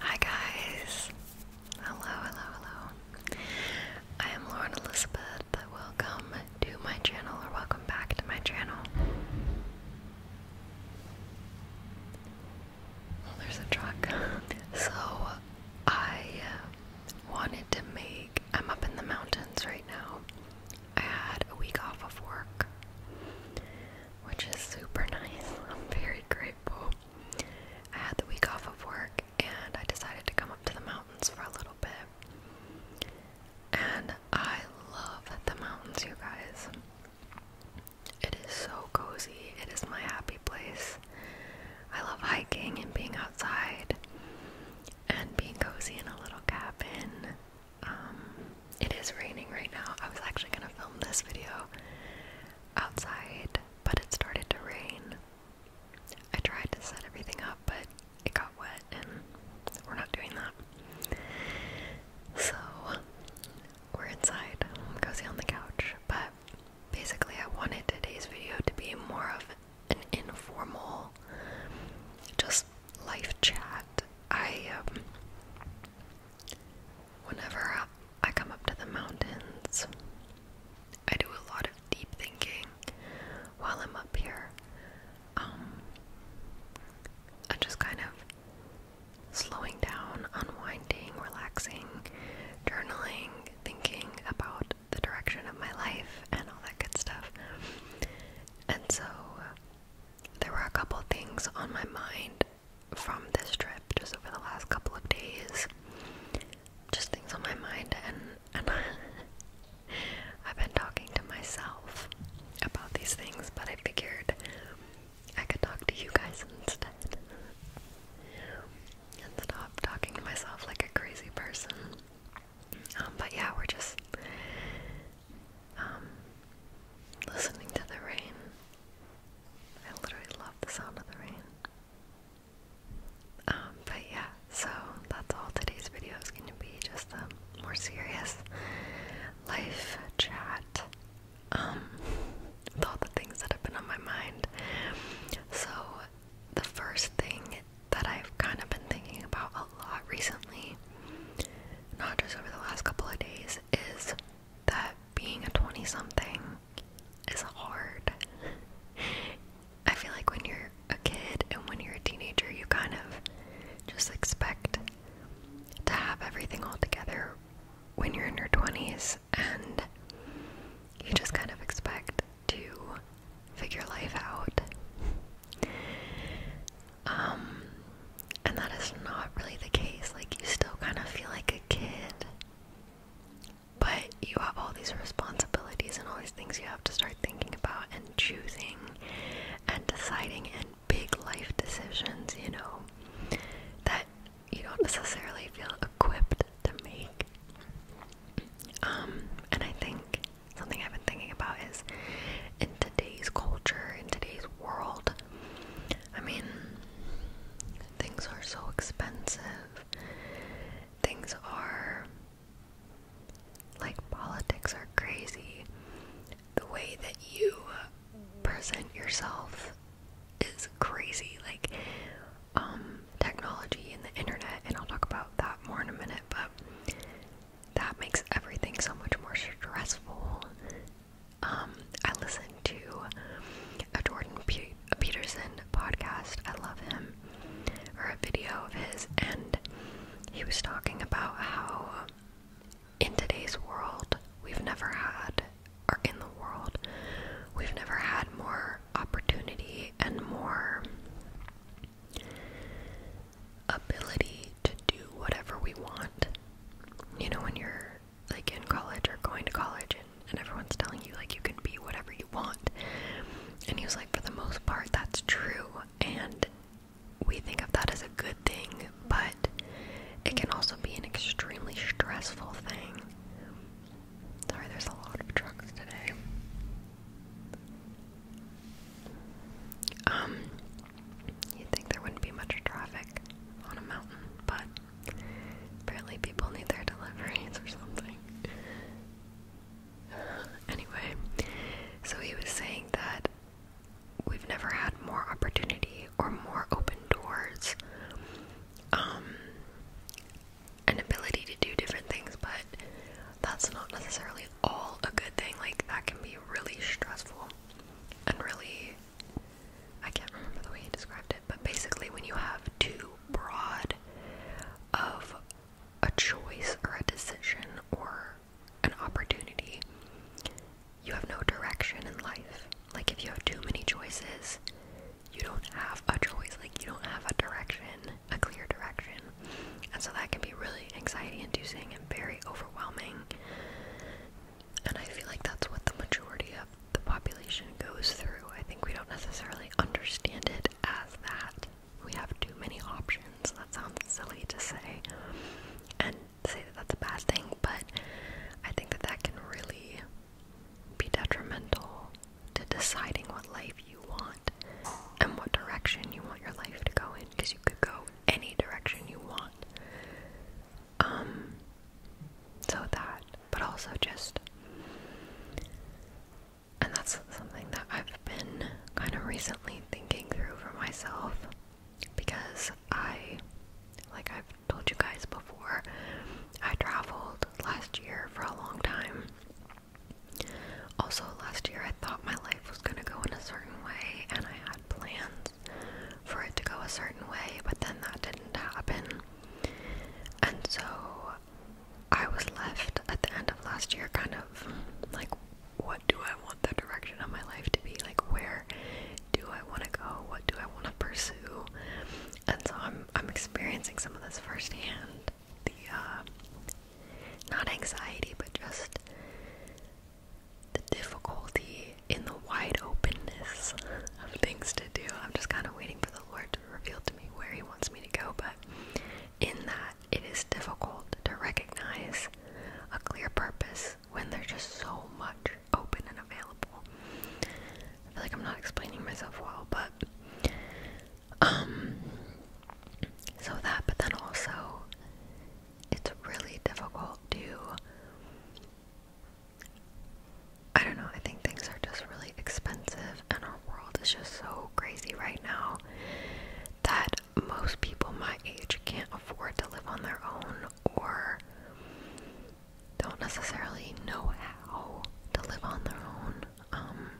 Hi guys! Hello, hello, hello. I am Lauren Elizabeth. Welcome to my channel, or welcome back to my channel. Well, there's a truck. So, I uh, wanted to make. I'm up in the mountains right now. I had a week off of work, which is super nice. I'm very grateful. I had the week off of work and I decided to come up to the mountains for a little bit. And I love the mountains, you guys. It is so cozy. It is my happy place. I love hiking and being outside and being cozy in a little cabin. Um, it is raining right now. I was actually going to film this video outside, but it started to rain. I tried to set everything up, but it got wet, and we're not doing that. So, we're inside, cozy on the couch. But basically, I wanted today's video to be more of an informal, just life chat. I um, Whenever I come up to the mountains, I do a lot of deep thinking while I'm up here. I'm um, just kind of slowing down, unwinding, relaxing, journaling, thinking about the direction of my life and all that good stuff. And so there were a couple things on my mind from this trip just over the last couple of days. Just things on my mind, and, and I've been talking to myself about these things, but I figured I could talk to you guys instead. and stop talking to myself like a crazy person. Um, but yeah, we're just um, listening to the rain. I literally love the sound of the rain. Um, but yeah, so that's all today's video is going to be just a more serious life chat. Um, with all the things that have been on my mind. So, the first thing that I've kind of been thinking about a lot recently, not just over the last couple of days, is that being a 20 something is hard. I feel like when you're a kid and when you're a teenager, you kind of just expect to have everything all together when you're in your 20s, and you just kind of expect to figure life out. Um, and that is not really the case. Like, you still kind of feel like a kid, but you have all these responsibilities and all these things you have to start thinking about and choosing and deciding in big life decisions, you know, that you don't necessarily feel equipped to make. Um, and I think something I've been thinking about is in today's culture, in today's world. I mean, things are so expensive. Things are. Like, politics are crazy. The way that you present yourself is crazy. Like, um, technology and the internet, and I'll talk about that more in a minute, but that makes everything so much more stressful. Um, I listened to a Jordan Peterson podcast. I love him, or a video of his, and he was talking about how in today's world we've never had, or in the world we've never had more opportunity and more ability to do whatever we want. You know, when you're like in college or going to college and, and everyone's telling you like you can be whatever you want. And he was like, for the most part, that's true. And we think of that as a good thing, but it can also be an extremely stressful thing. Sorry, there's a lot of trucks today. Um, you'd think there wouldn't be much traffic on a mountain, but apparently people need their deliveries or something. anyway, so he was saying that we've never had more opportunity or more open doors, um, an ability to do different things, but that's not necessarily all a good thing. Like, that can be really stressful and really. I can't remember the way he described it, but basically, when you have too broad of a choice or a decision or an opportunity, you have no direction in life. Like, if you have too many choices, you don't have a choice. Like, you don't have a direction, a clear direction. And so that can be really anxiety inducing and very overwhelming. And I feel like that's what the majority of the population goes through. I think we don't necessarily understand it as that. We have too many options. That sounds silly to say and say that that's a bad thing, but I think that that can really be detrimental to deciding what life you want and what direction you want your life to go in because you could go any direction you want. Um so that, but also just and that's something that I've been kind of recently thinking through for myself because I like I've told you guys before, I traveled last year for a long time also, last year I thought my life was going to go in a certain way, and I had plans for it to go a certain way, but then that didn't happen. And so I was left at the end of last year kind of like, what do I want the direction of my life to be? Like, where do I want to go? What do I want to pursue? And so I'm, I'm experiencing some of this firsthand the um, not anxiety, but just the difficulty in the wide openness of things to do. I'm just kind of waiting for the Lord to reveal to me where He wants me to go, but in that, it is difficult to recognize a clear purpose when there's just so much open and available. I feel like I'm not explaining myself well, but um, so that, but then also, it's really difficult to. I don't know, I think things are just really expensive, and our world is just so crazy right now that most people my age can't afford to live on their own or don't necessarily know how to live on their own. Um,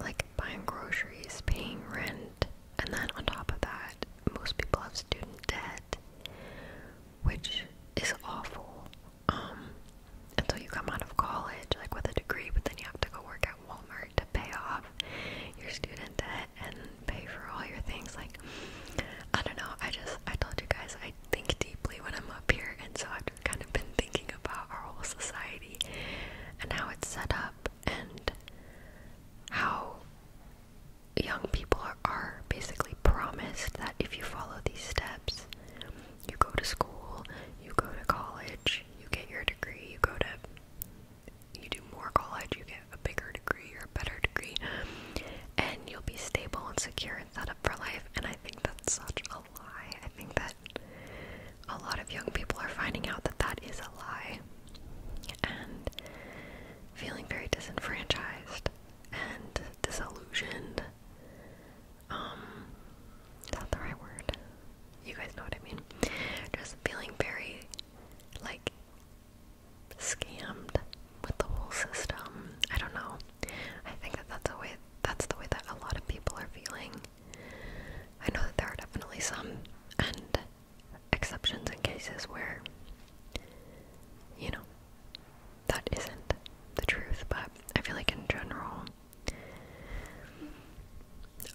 like buying groceries, paying rent, and then on top of that, most people have student debt, which is awful. Um, and so you come out of college like with a degree, but then you have to go work at Walmart to pay off your student debt and pay for all your things. Like, I don't know. I just I told you guys I think deeply when I'm up here, and so I've kind of been thinking about our whole society and how it's set up and how young people are, basically promised that if you follow these steps, you go to school, you go to college, you get your degree, you go to, you do more college, you get a bigger degree or a better degree, and you'll be stable and secure and set up for life. And I think that's such a lie. I think that a lot of young people are finding out that that is a lie and feeling very disenfranchised and disillusioned. Um, is the right word? You guys know what I mean. Just feeling very like scammed with the whole system. I don't know. I think that that's the way that's the way that a lot of people are feeling. I know that there are definitely some exceptions and cases where you know that isn't the truth, but I feel like in general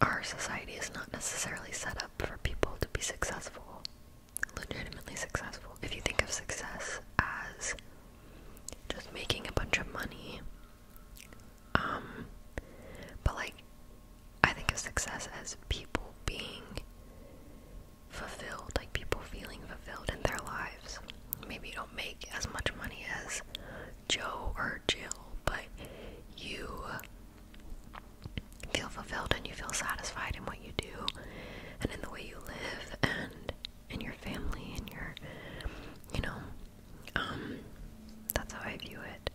our society is not necessarily set up for people to be successful, legitimately successful. If you think of success as just making a bunch of money um, but like, I think of success as people being fulfilled, like people feeling fulfilled in their lives. Maybe you don't make as much money as Joe or Jill, but you feel fulfilled and you feel satisfied in what you do and in the way you live and and your family and your you know um that's how I view it.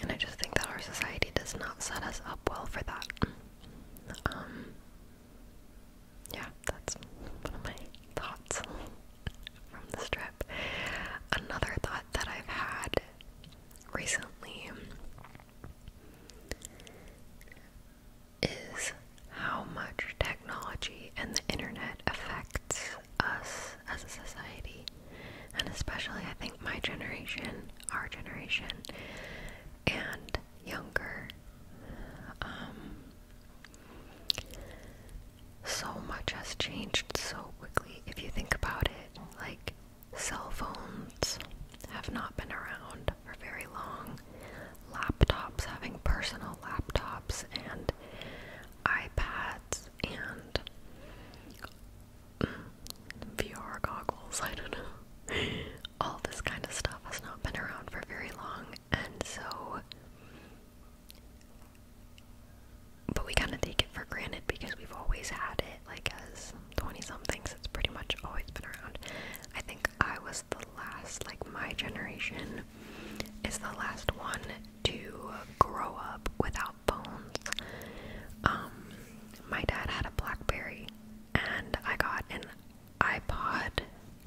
And I just think that our society does not set us up well for that. Um yeah, that's one of my thoughts from the trip. Another thought that I've had recently is how much technology and the internet affects us as a society. And especially, I think, my generation, our generation, and younger. Um, so much has changed so quickly. If you think about it, like cell phones have not been around for very long. Laptops having personal laptops and iPads and mm, VR goggles, I don't know. All this kind of stuff has not been around for very long, and so. But we kind of take it for granted because we've always had it, like as 20 somethings, it's pretty much always been around. I think I was the last, like my generation is the last one to grow up without phones. Um, my dad had a Blackberry and I got an iPod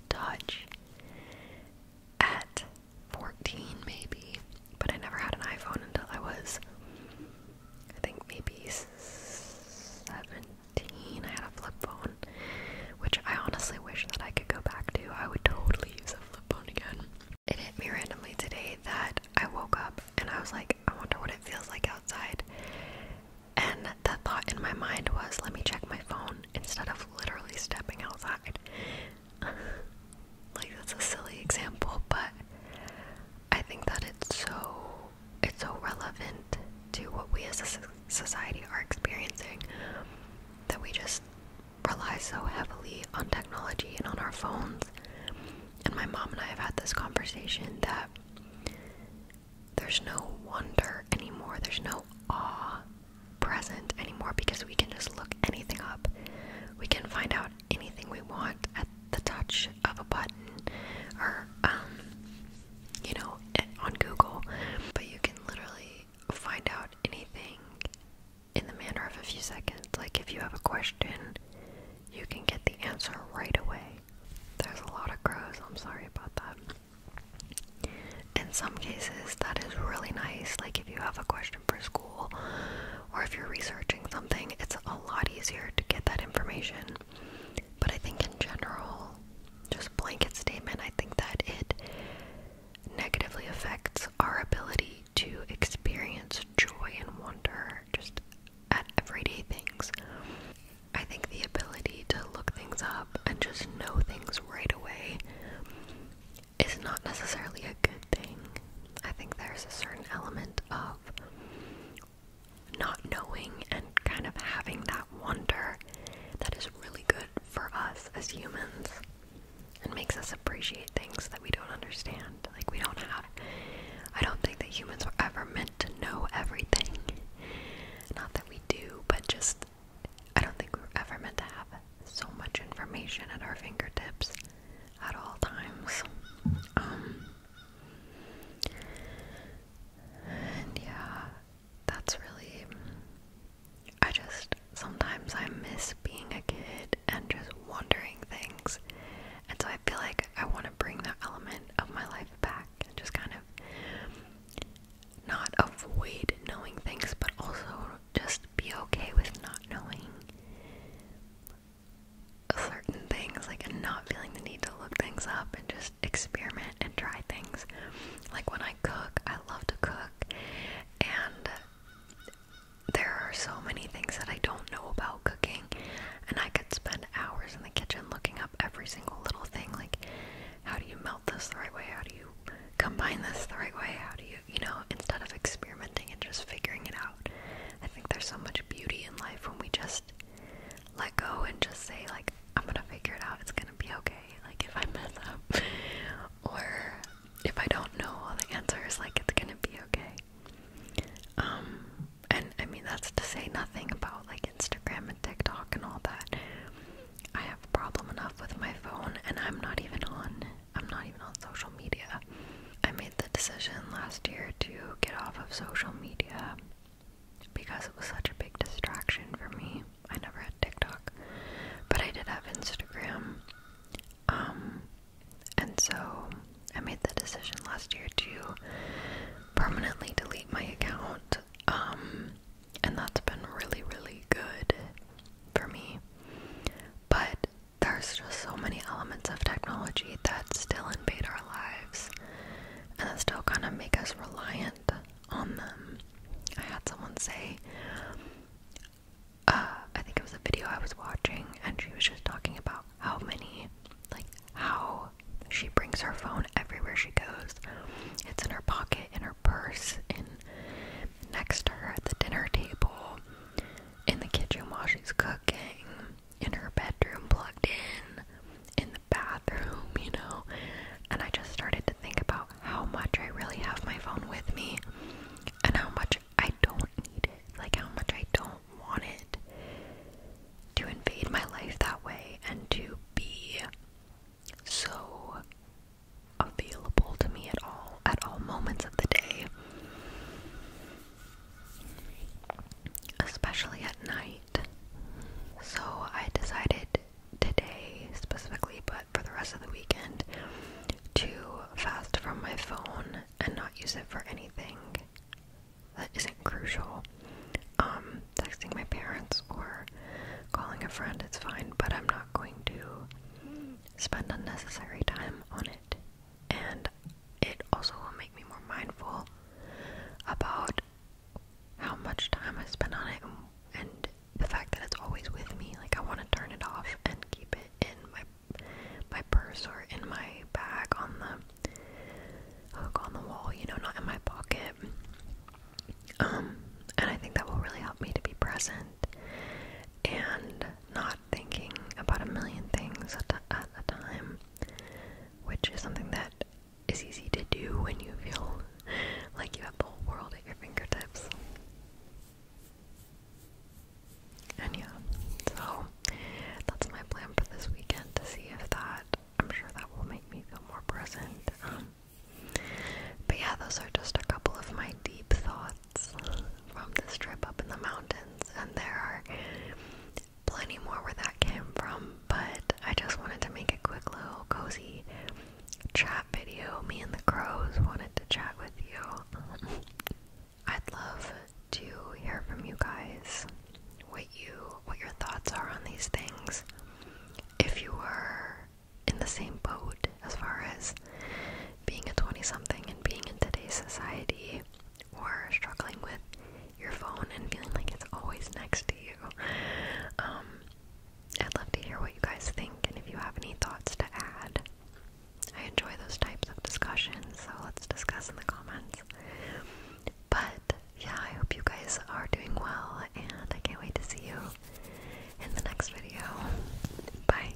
Touch at 14 maybe, but I never had an iPhone until I was, I think maybe seven. I had a flip phone, which I honestly wish that I could go back to. I would totally use a flip phone again. It hit me randomly today that I woke up and I was like, I wonder what it feels like outside. And the thought in my mind was, let me check my phone instead of literally stepping outside. like, that's a silly example, but I think that it's so it's so relevant to what we as a society are experiencing that we just rely so heavily on technology and on our phones. And my mom and I have had this conversation that there's no wonder anymore, there's no awe present anymore because we can just look anything up. We can find out anything we want at the touch of a button or um you know, on Google, but you can literally find out anything in the manner of a few seconds. Like if you have a question, you can get the answer right away. There's a lot of crows, I'm sorry about that. In some cases, that is really nice. Like if you have a question for school or if you're researching something, it's a lot easier to get that information but I think in general, just blanket statement, I think that it negatively affects our ability to experience joy and wonder just at everyday things. I think the ability to look things up and just know things right away is not necessarily a good thing. I think there's a certain element of not knowing and kind of having that wonder that is really good for us as humans and makes us appreciate things that we don't understand. Like, we don't have. I don't think that humans were ever meant to know everything. Not that we do, but just. I don't think we were ever meant to have so much information at our fingertips at all times. Um, and yeah, that's really. I just. Sometimes I miss being a kid and just wondering things. And so I feel like I want to bring that element of my life back and just kind of not avoid knowing things, but also just be okay with not knowing certain things, like and not feeling the need to look things up and just experiment and try things. Like when I cook, I love to cook, and there are so many things that I don't know about cooking, and I could spend hours in the kitchen looking up every single little thing. Like, how do you melt this the right way? How do you combine this the right way? How do you, you know, instead of experimenting and just figuring it out? I think there's so much beauty in life when we just let go and just say like I'm gonna figure it out. It's gonna be okay. Like if I mess up or if I don't know all the answers, like it's gonna be okay. Um, and I mean that's to say nothing about like Instagram and TikTok and all that. I have a problem enough with my phone, and I'm not even on. I'm not even on social media. I made the decision last year to get off of social media because it was such a big distraction for me. I never had TikTok, but I did have Instagram. Um, and so I made the decision last year to permanently delete my account. Um, and that's been really, really good for me. But there's just so many elements of technology that still invade our lives and that still kind of make us reliant on them. I had someone say, uh, I think it was a video I was watching, and she was just talking about how many, like, how she brings her phone everywhere she goes. It's in her pocket, in her purse, in next to her at the dinner table, in the kitchen while she's cooking in her bedroom plugged in in the bathroom, you know. And I just started to think about how much I really have my phone with me and how much I don't need it, like how much I don't want it to invade my life that way and to be so available to me at all at all moments of the day especially at night. So I decided today specifically, but for the rest of the weekend, to fast from my phone and not use it for anything that isn't crucial. Um, texting my parents or calling a friend, it's fine, but I'm not going to spend unnecessary time on it and it also will make me more mindful about how much time I spend on it and, the fact that it's always with me. Like I want to turn it off and keep it in my my purse or in my bag on the hook on the wall, you know, not in my pocket. Um, and I think that will really help me to be present and not thinking about a million things at, at a time, which is something that is easy to do when you feel like you have the whole world at your fingertips. And yeah, so that's my plan for this weekend to see if that, I'm sure that will make me feel more present. Um, but yeah, those are just a couple of my deep thoughts from this trip up in the mountains, and there are plenty more where that came from, but I just wanted to make a quick little cozy chat video. Me and the crows wanted to chat with you. I'd love to hear from you guys what you what your thoughts are on these things. If you were in the same boat as far as being a 20 something and being in today's society or struggling with your phone and feeling like it's always next to you. Um, I'd love to hear what you guys think and if you have any thoughts to add. I enjoy those types of discussions, so let's discuss in the comments. But yeah, I hope you guys are doing well, and I can't wait to see you in the next video. Bye.